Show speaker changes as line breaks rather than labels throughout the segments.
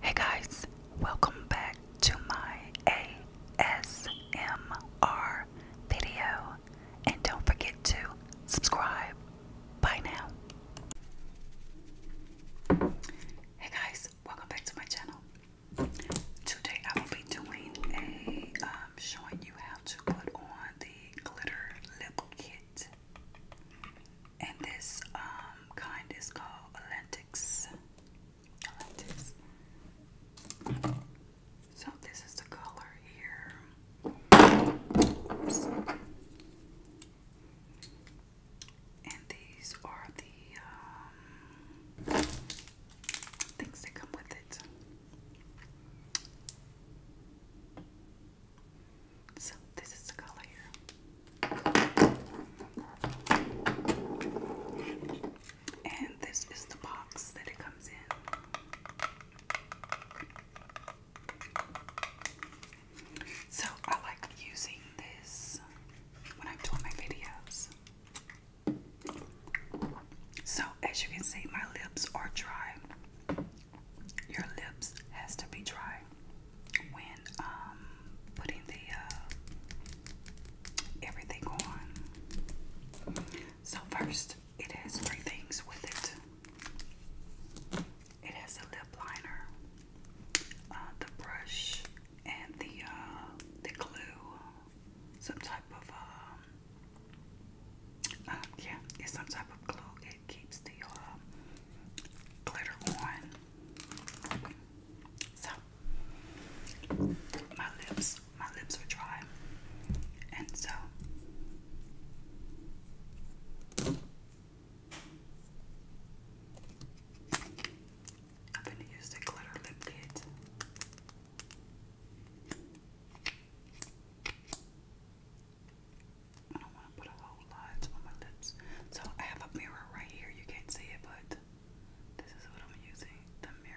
Hey guys, welcome back to my ASMR video. And don't forget to subscribe. Bye now. Hey guys, welcome back to my channel. Today I will be doing a um, showing you how to put on the glitter lip kit. And this um, kind is called Atlantics. So this is the color here. And these are the um, things that come with it. So this is the color here. And this is the box that it comes in. So I like using this when I'm doing my videos. So as you can see, my lips are dry your lips has to be dry when um, putting the uh, everything on. So first, it has three things with it. It has a lip liner, uh, the brush, and the uh, the glue, some type of um, uh, yeah, it's some type of glue keeps the uh, glitter on. So my lips, my lips are dry, and so. I'm going to use the glitter lip kit. I don't want to put a whole lot on my lips. So I have a mirror right here. You can't see it, but this is what I'm using the mirror.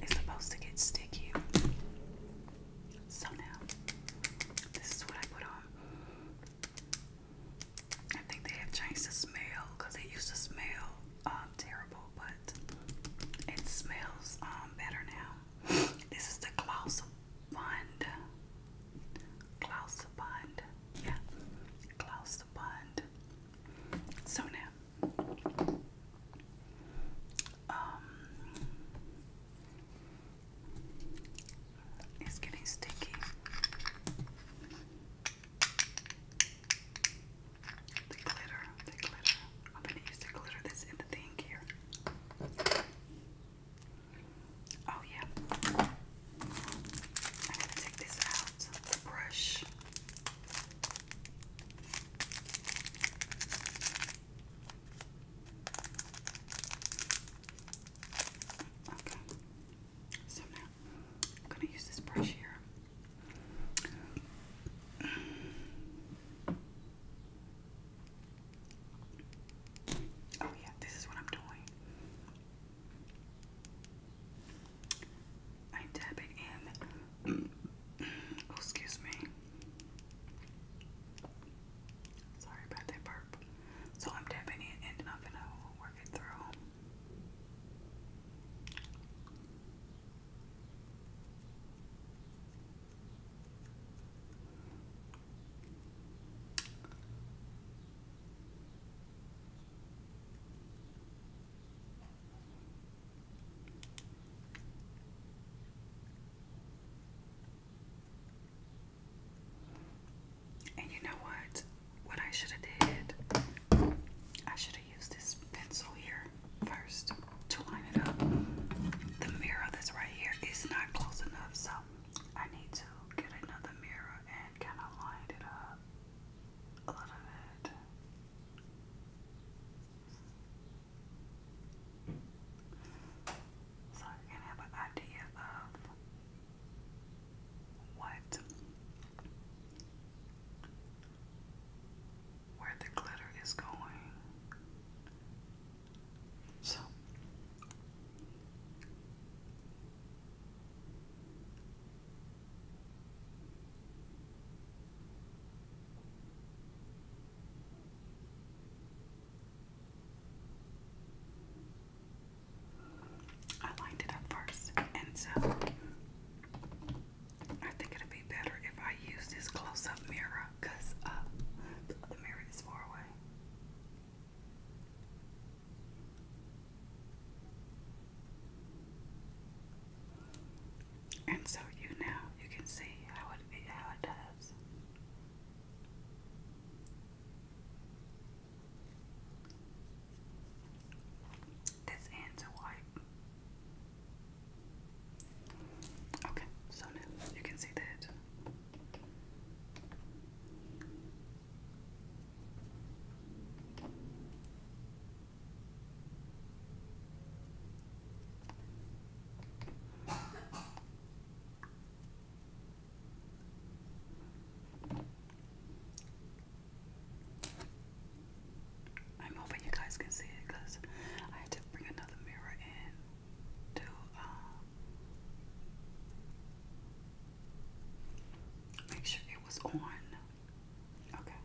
It's supposed to get sticky. So now, this is what I put on. I think they have changed the smell it used to smell um, terrible, but it smells um, better now. This is the Klaus Bond. Klaus Bond. Yeah. Klaus Bond so now, um, it's getting sticky. The glitter, the glitter. I'm gonna use the glitter that's in the thing here. Oh yeah. I'm gonna take this out, the brush. Okay. So now I'm gonna use this brush here. Oh yeah, this is what I'm doing. I dab it in. Oh, excuse me. Sorry about that burp. So I'm tapping in and I'm gonna work it through. And you know what? What I should have did, I should have used this pencil here first to line it up. The mirror that's right here is not close enough, so I need to get another mirror and kind of line it up a lot of So you can have an idea of what where the glitter is going. So I lined it up first, and so I think it would be better if I use this close up mirror because uh, the mirror is far away. And so you now you can see how it how it does. This ends white. Okay, so now you can see that I'm hoping you guys can see it because I had to bring another mirror in to uh, Make sure it was on. Okay.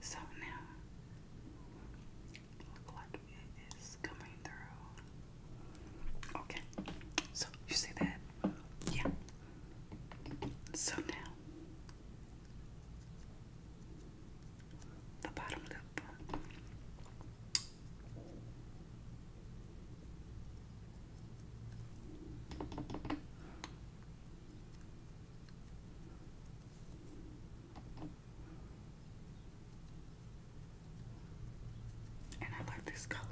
So now, look like coming through. Okay. So you see that? Yeah. So now, the bottom lip. And I like this color.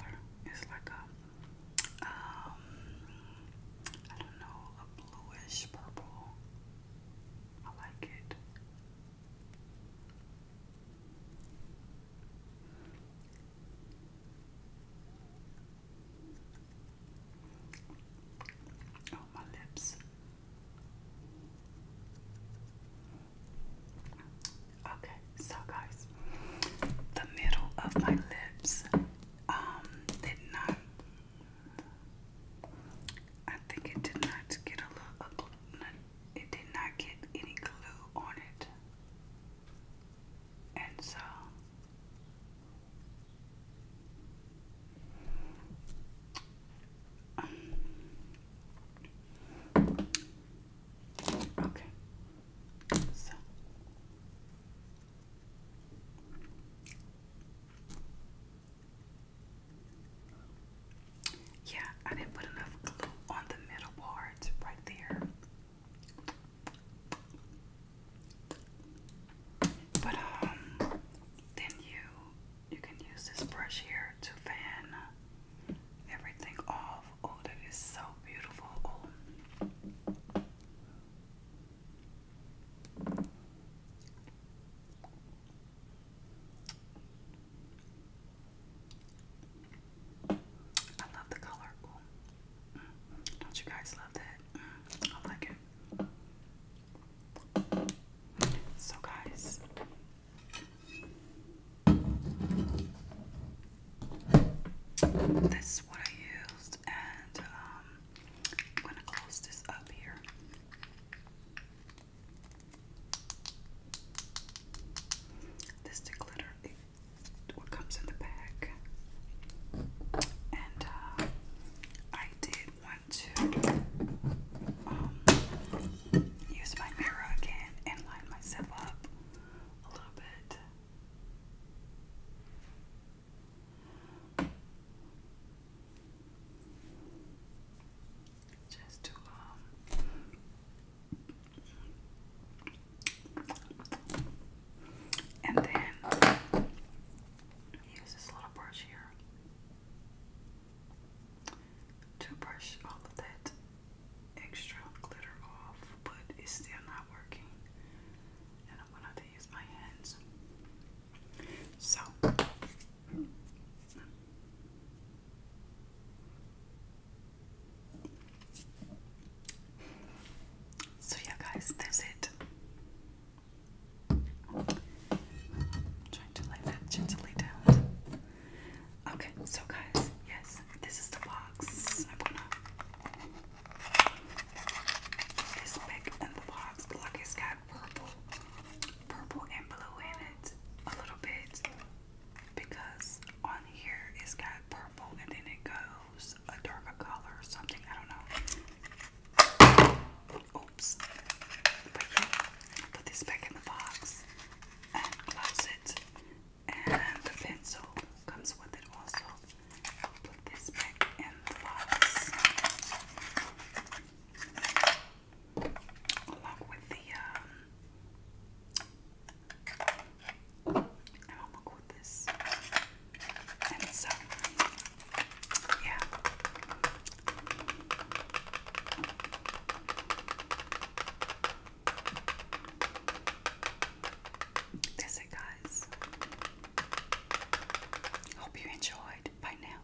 It's like a, um, I don't know, a bluish purple. I like it. Oh, my lips. Okay, so guys, the middle of my lips um did not I think it did not get a little it did not get any glue on it. And so um, okay. So yeah, I didn't put enough glue on the middle part right there. But um then you you can use this brush here to fan everything off. Oh, that is so beautiful. Oh. I love the color. Mm. Don't you guys love that? Mm. I like it. So, guys, this is what I used, and um, I'm going to close this up here. This glitter, what comes in the bag. And uh, I did want to um, use my mirror again and line myself up a little bit just to um and then use this little brush here to brush all of that extra glitter off, but it's still not working. And I'm going to use my hands. So so, yeah, guys, that's it. trying to lay that gently down. Okay, so, guys, yes, this is the box. I'm going the box like it's purple, purple and blue in it a little bit because on here it's got purple and then it goes a darker color or something. I don't know. Oops. But yeah, put this back in the box and close it. And the pencil comes with it also. put this back in the box along with the, um, with this. And so, yeah. That's it, guys. Hope you enjoyed. Bye now.